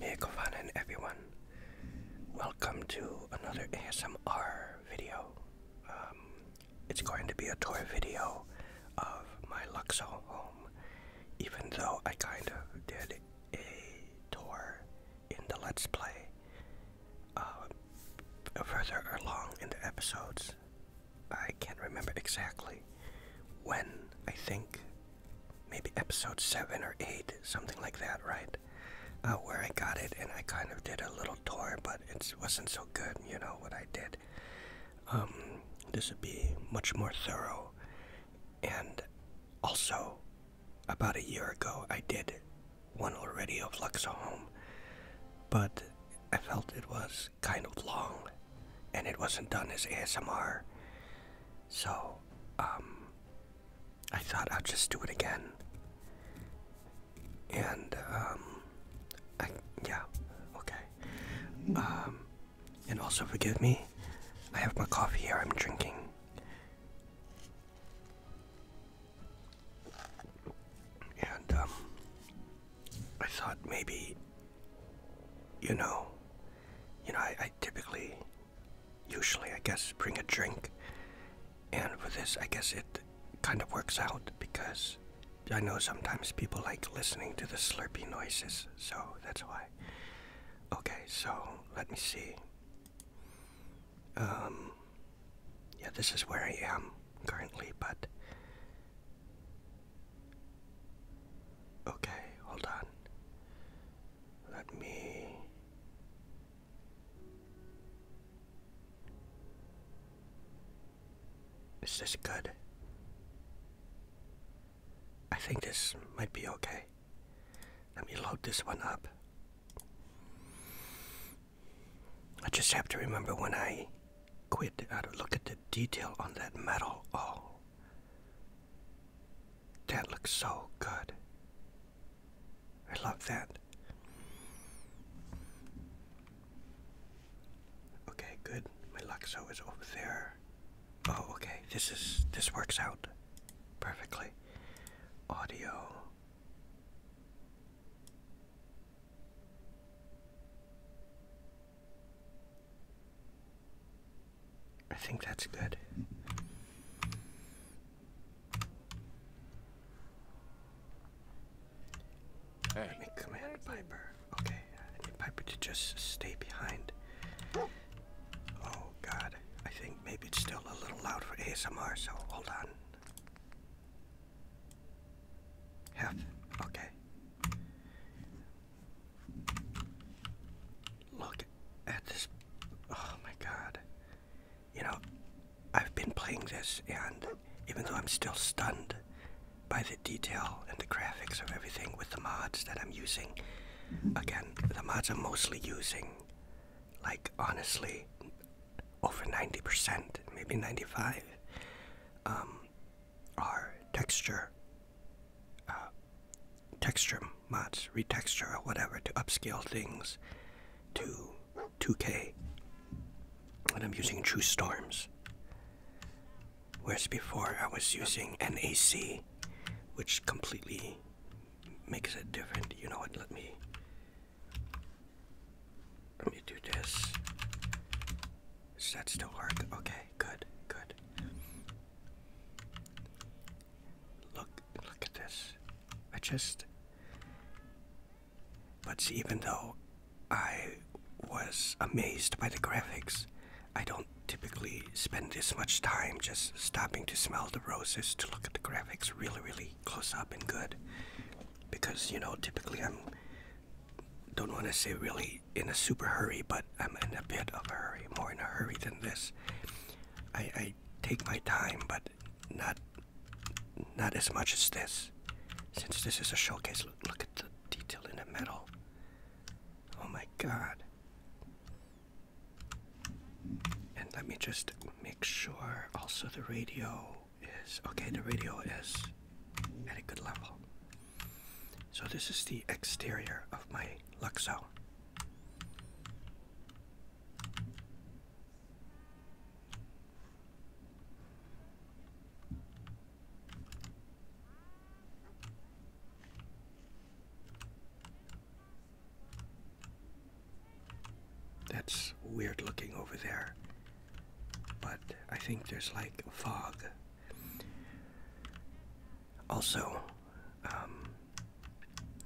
Hey and everyone, welcome to another ASMR video. Um, it's going to be a tour video of my Luxo home, even though I kind of did a tour in the Let's Play uh, further along in the episodes. I can't remember exactly when, I think maybe episode 7 or 8, something like that, right? Uh, where I got it and I kind of did a little tour, but it wasn't so good, you know, what I did. Um, this would be much more thorough. And also, about a year ago, I did one already of Luxor Home, but I felt it was kind of long and it wasn't done as ASMR. So, um, I thought I'd just do it again. And, um, yeah, okay. Um, and also forgive me, I have my coffee here I'm drinking. And, um, I thought maybe, you know, you know, I, typically, usually, I guess, bring a drink, and with this, I guess it kind of works out because I know sometimes people like listening to the slurpy noises, so that's why. Okay, so let me see. Um, yeah, this is where I am currently, but Okay, hold on. Let me. Is this good? I think this might be okay. Let me load this one up. I just have to remember when I quid out of look at the detail on that metal. Oh, that looks so good. I love that. Okay, good. My Luxo is over there. Oh, okay. This is this works out perfectly. Audio. I think that's good. Hey. Let me command Piper. Okay, I need Piper to just stay behind. Oh god, I think maybe it's still a little loud for ASMR, so hold on. Half. Okay. Look at this. Oh my god. You know, I've been playing this, and even though I'm still stunned by the detail and the graphics of everything with the mods that I'm using, again, the mods I'm mostly using, like honestly, over 90%, maybe 95. Um, are texture uh, texture mods, retexture whatever to upscale things to 2K. And I'm using True Storms. Whereas before I was using NAC, which completely makes it different. You know what? Let me let me do this. Does that still work? Okay, good, good. Look, look at this. I just. But even though I was amazed by the graphics, I don't typically spend this much time just stopping to smell the roses to look at the graphics really, really close up and good. Because, you know, typically I'm don't want to say really in a super hurry, but I'm in a bit of a hurry, more in a hurry than this. I, take my time, but not not as much as this. Since this is a showcase, look at the detail in the metal. Oh my god. And let me just make sure also the radio is okay, the radio is at a good level. So, this is the exterior of my Luxo. That's weird looking over there but I think there's like fog. Also, um,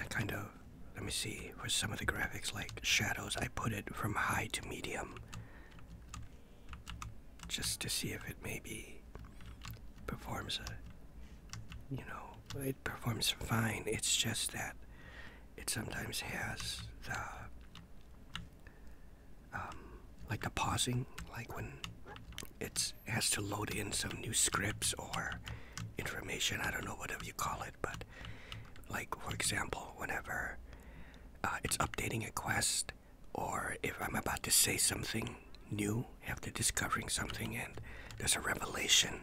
I kind of let me see for some of the graphics like shadows. I put it from high to medium just to see if it maybe performs a you know it performs fine. It's just that it sometimes has the um, like the pausing, like when it has to load in some new scripts or information. I don't know whatever you call it, but like for example, whenever uh, it's updating a quest, or if I'm about to say something new after discovering something and there's a revelation,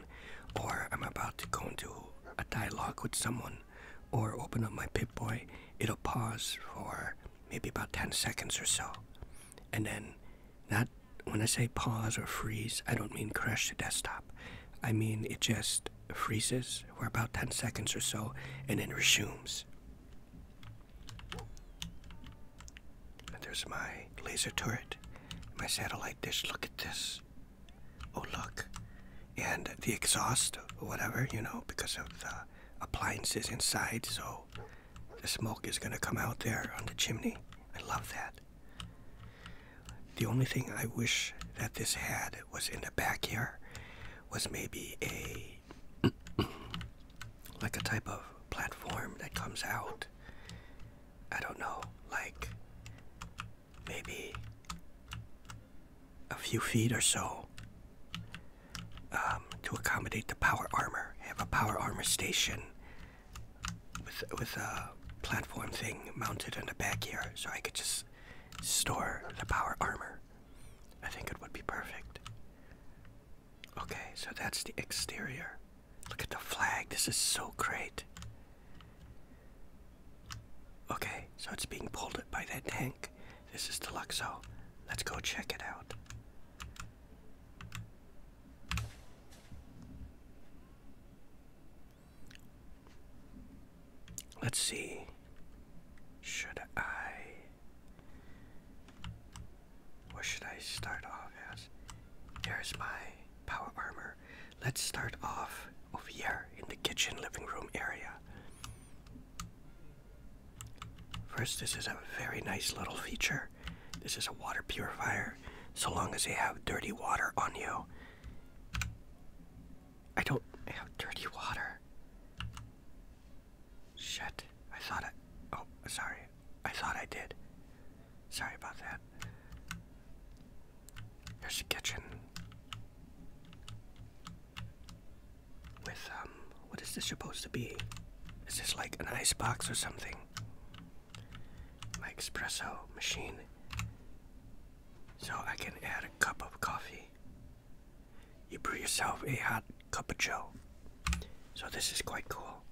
or I'm about to go into a dialogue with someone or open up my Pip-Boy, it'll pause for maybe about 10 seconds or so. And then that, when I say pause or freeze, I don't mean crash the desktop. I mean it just freezes for about 10 seconds or so and then resumes. there's my laser turret, my satellite dish. Look at this. Oh, look and the exhaust or whatever, you know, because of the appliances inside. So the smoke is going to come out there on the chimney. I love that. The only thing I wish that this had was in the back here was maybe a like a type of platform that comes out. I don't know, like maybe a few feet or so um, to accommodate the power armor. Have a power armor station with with a platform thing mounted in the back here, so I could just store the power armor. I think it would be perfect. Okay, so that's the exterior. Look at the flag. This is so great. Okay, so it's being pulled by that tank. This is Deluxeo. Let's go check it out. Let's see. Should I. What should I start off as? Here's my power armor. Let's start off over here in the kitchen living room area. First, this is a very nice little feature. This is a water purifier, so long as you have dirty water on you. I don't have dirty water. Shit, I thought I. Oh, sorry. I thought I did. Sorry about that. There's the kitchen. With, um, what is this supposed to be? Is this like an ice box or something? My espresso machine. So I can add a cup of coffee. You brew yourself a hot cup of joe. So this is quite cool.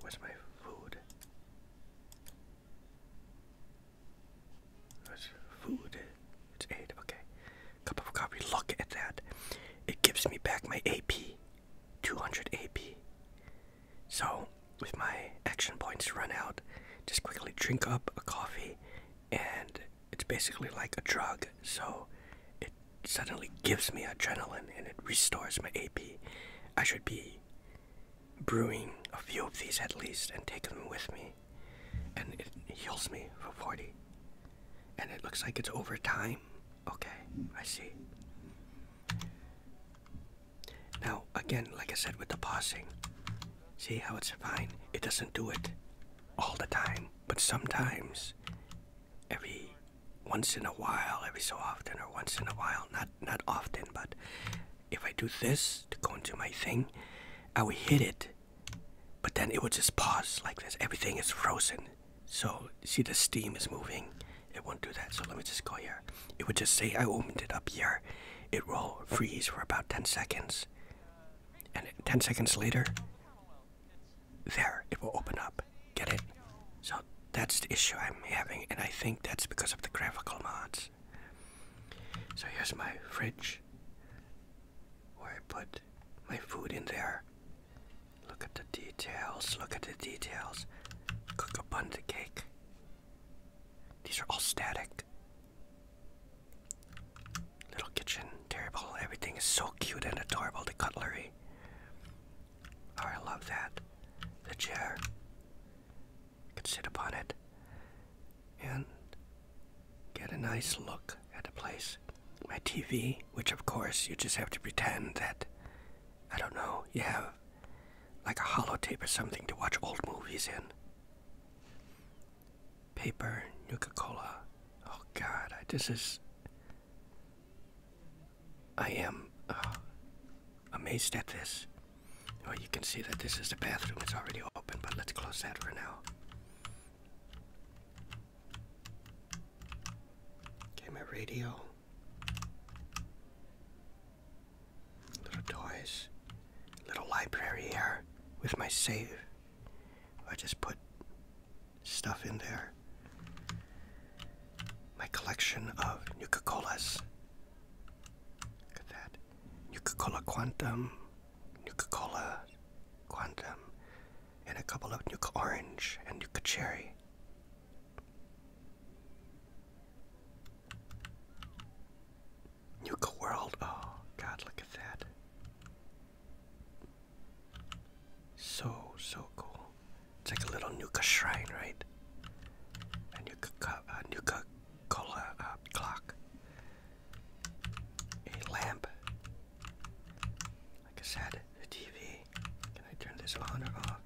Where's my food? It's food. It's eight. Okay. Cup of coffee. Look at that. It gives me back my AP. 200 AP. So, with my action points run out, just quickly drink up a coffee, and it's basically like a drug. So, it suddenly gives me adrenaline and it restores my AP. I should be brewing a few of these at least and take them with me. And it heals me for 40. And it looks like it's over time. Okay, I see. Now, again, like I said with the pausing, see how it's fine? It doesn't do it all the time, but sometimes, every once in a while, every so often, or once in a while, not, not often, but if I do this to go into my thing, I will hit it, but then it will just pause like this. Everything is frozen. So see the steam is moving. It won't do that. So let me just go here. It would just say I opened it up here. It will freeze for about 10 seconds. And 10 seconds later, there, it will open up. Get it? So that's the issue I'm having, and I think that's because of the graphical mods. So here's my fridge where I put my food in there. Look at the details, look at the details. Cook a bundt of cake. These are all static. Little kitchen, terrible. everything is so cute and adorable. The cutlery. Oh, I love that. The chair could sit upon it and get a nice look at the place. My TV, which of course you just have to pretend that, I don't know, you have like a hollow tape or something to watch old movies in. Paper, Coca Cola. Oh God, I, this is. I am. Uh, amazed at this. Well, you can see that this is the bathroom. It's already open, but let's close that for now. Okay, my radio. Little toys. Little library here with my save. I just put stuff in there. My collection of Nuka Colas. Look at that. Nuka-Cola Quantum, Nuka-Cola Quantum, and a couple of Nuka Orange and Nuka Cherry. Nuka World. Oh, God, look at that. So, so cool. It's like a little Nuka shrine, right? A Nuka, Cola uh, clock. A lamp. Like I said, a TV. Can I turn this on or off?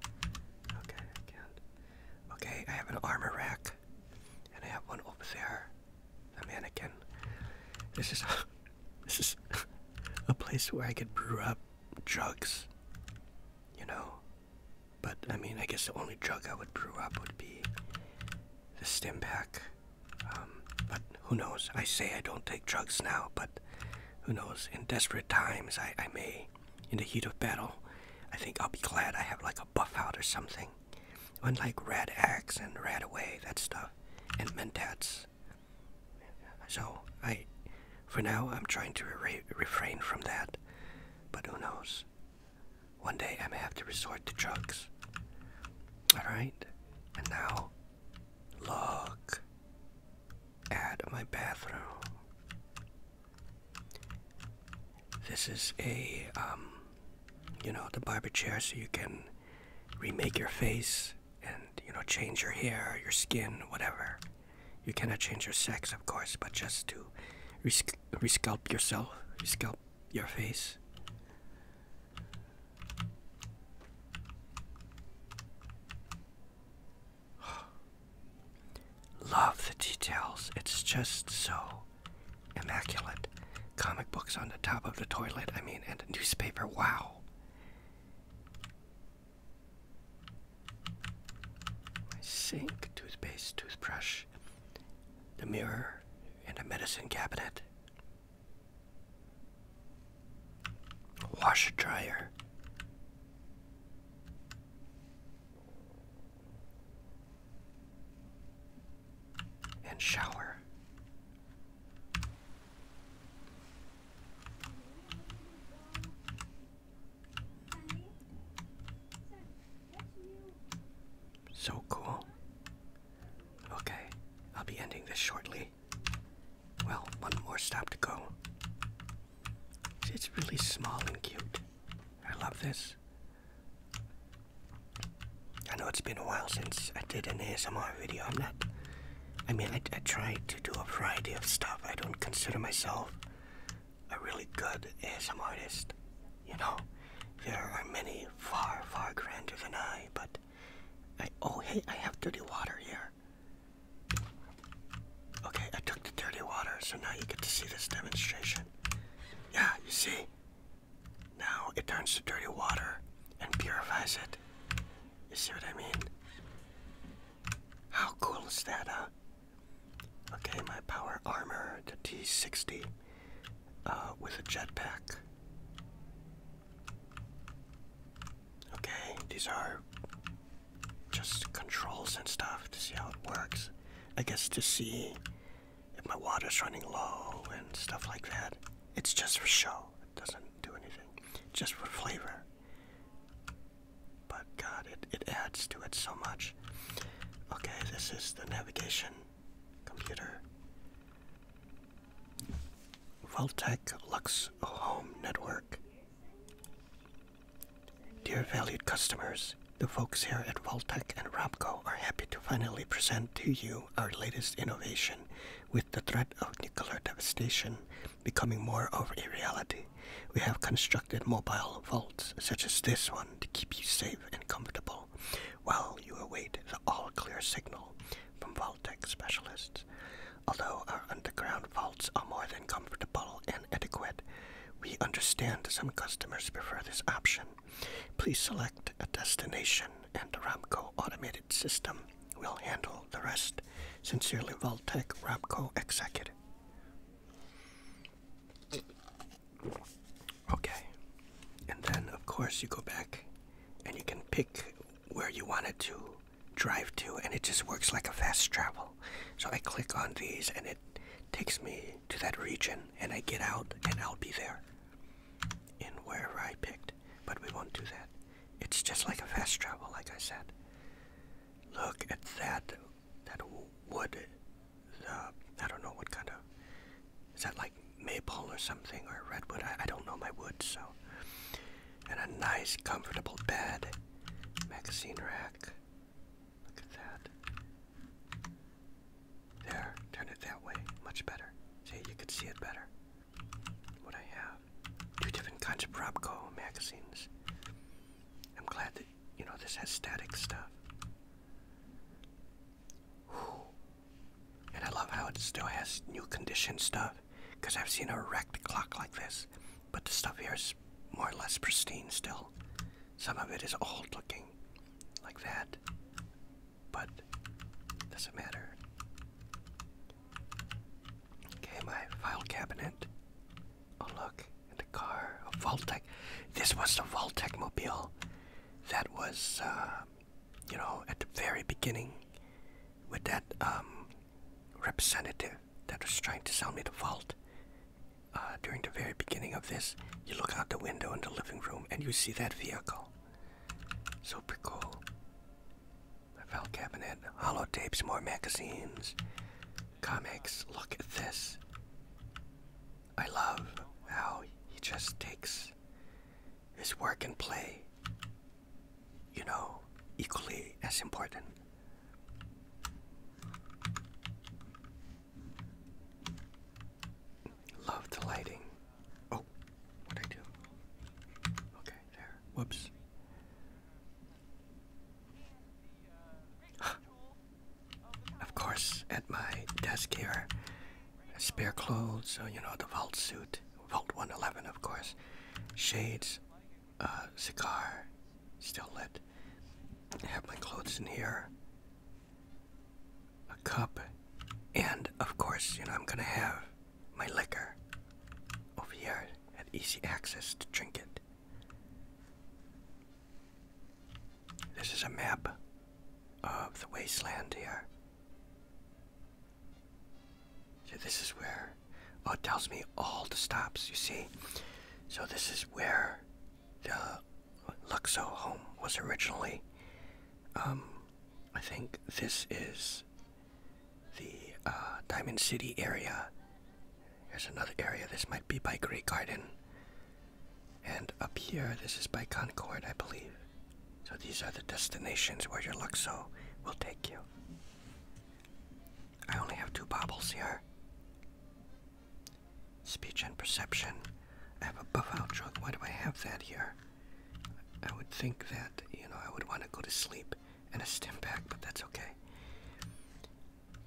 Okay, I can't. Okay, I have an armor rack. And I have one over there. A mannequin. This is this is a place where I could brew up drugs. You know, but I mean, I guess the only drug I would brew up would be the stim pack. Um, but who knows? I say I don't take drugs now, but who knows? In desperate times, I, I may, in the heat of battle, I think I'll be glad I have like a buff out or something. Unlike red X and red Away, that stuff, and Mentats. So I, for now, I'm trying to refrain from that, but who knows? One day I may have to resort to drugs. Alright, and now look at my bathroom. This is a, um, you know, the barber chair so you can remake your face and, you know, change your hair, your skin, whatever. You cannot change your sex, of course, but just to resc resculpt yourself, resculpt your face. Love the details. It's just so immaculate. Comic books on the top of the toilet, I mean, and a newspaper. Wow my sink, toothpaste, toothbrush, the mirror, and a medicine cabinet. Washer dryer. And shower. So cool. Okay, I'll be ending this shortly. Well, one more stop to go. It's really small and cute. I love this. I know it's been a while since I did an ASMR video. I'm not. I mean, I, tried to do a variety of stuff. I don't consider myself a really good ASM artist. You know, there are many far, far grander than I, but I. Oh, hey, I have dirty water here. Okay, I took the dirty water, so now you get to see this demonstration. Yeah, you see? Now it turns to dirty water and purifies it. You see what I mean? How cool is that, huh? Okay, my power armor, the T60, uh, with a jetpack. Okay, these are just controls and stuff to see how it works. I guess to see if my water's running low and stuff like that. It's just for show. It doesn't do anything. Just for flavor. But God, it, it adds to it so much. Okay, this is the navigation computer. Voltec Lux Home Network. Dear valued customers, the folks here at Voltec and Robco are happy to finally present to you our latest innovation. With the threat of nuclear devastation becoming more of a reality, we have constructed mobile vaults such as this one to keep you safe and comfortable while you await the all clear signal from vault tech specialists. Although our underground vaults are more than comfortable and adequate, we understand some customers prefer this option. Please select a destination, and the Ramco automated system will handle the rest. Sincerely, Voltec Ramco Executive. Okay, and then of course you go back and you can pick where you want it to drive to, and it just works like a fast travel. So I click on these and it takes me to that region, and I get out and I'll be there in wherever I picked, but we won't do that. It's just like a fast travel, like I said look at that that wood. Uh, I don't know what kind of is that like maple or something or redwood. I, don't know my wood so. And a nice comfortable bed, magazine rack. Look at that. There, turn it that way. Much better. See, you could see it better. What I have two different kinds of Propco magazines. I'm glad that you know this has static stuff. And I love how it still has new condition stuff, because I've seen a wrecked clock like this, but the stuff here is more or less pristine still. Some of it is old looking, like that, but doesn't matter. Okay, my file cabinet. Oh look, in the car, a Voltec. This was the Voltec mobile that was, uh, you know, at the very beginning with that um, representative that was trying to sell me the vault. Uh, during the very beginning of this, you look out the window in the living room and you see that vehicle. Super cool. My file cabinet, holotapes, more magazines, comics. Look at this. I love how he just takes his work and play, you know, equally as important. Love the lighting. Oh, what'd I do? Okay, there. Whoops. of course, at my desk here, spare clothes, so uh, you know, the vault suit, vault 111, of course, shades, uh, cigar, still lit. I have my clothes in here, a cup, and of course, you know, I'm gonna have my liquor. Over here, had easy access to drink it. This is a map of the wasteland here. So this is where, oh, it tells me all the stops, you see? So this is where the Luxo home was originally. Um, I think this is the uh, Diamond City area. Here's another area. This might be by Great Garden. And up here, this is by Concord, I believe. So these are the destinations where your Luxo will take you. I only have two bobbles here. Speech and perception. I have a buff out drug. Why do I have that here? I would think that, you know, I would want to go to sleep and a stim pack, but that's okay.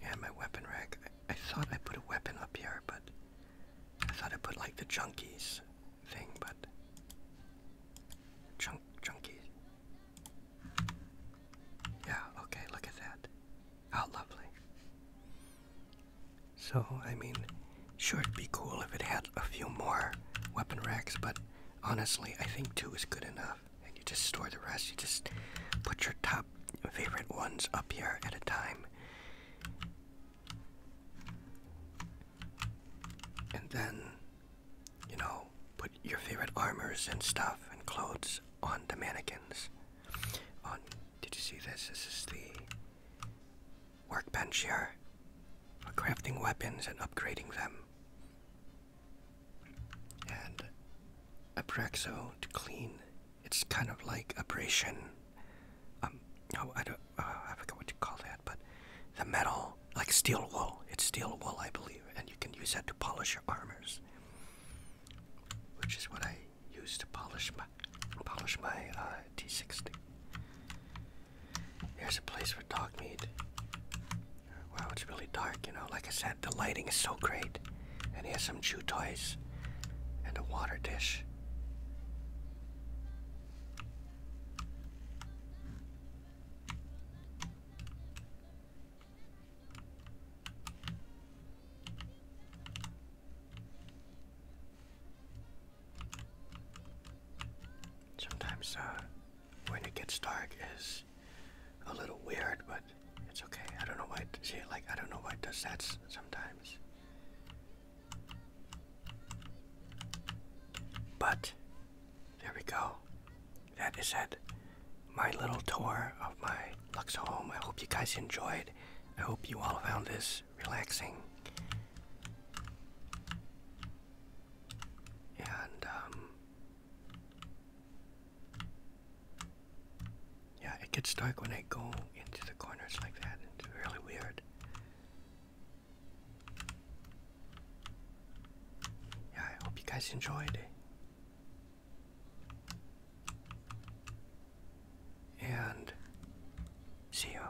And my weapon rack. I, thought I put a weapon up here, but I thought I put like the junkies thing, but junk junkies. Yeah, okay, look at that. How lovely. So, I mean, sure it'd be cool if it had a few more weapon racks, but honestly, I think two is good enough. And you just store the rest. You just put your top favorite ones up here at a time. And then, you know, put your favorite armors and stuff and clothes on the mannequins. On, did you see this? This is the workbench here for crafting weapons and upgrading them. And Abraxo to clean. It's kind of like abrasion. Um, no, I uh, I forget what you call that, but the metal, like steel wool. It's steel wool, I believe, and you can use that to polish your armors, which is what I use to polish my polish my uh, 60 there's a place for dog meat. Wow, it's really dark, you know. Like I said, the lighting is so great. And here's some chew toys and a water dish. Sometimes, uh, when it gets dark is a little weird, but it's okay. I don't know why. It, see, like I don't know why it does that sometimes. But there we go. That is it. My little tour of my Luxo home. I hope you guys enjoyed. I hope you all found this relaxing. And, um, yeah, it gets dark when I go into the corners like that. It's really weird. Yeah, I hope you guys enjoyed And see you.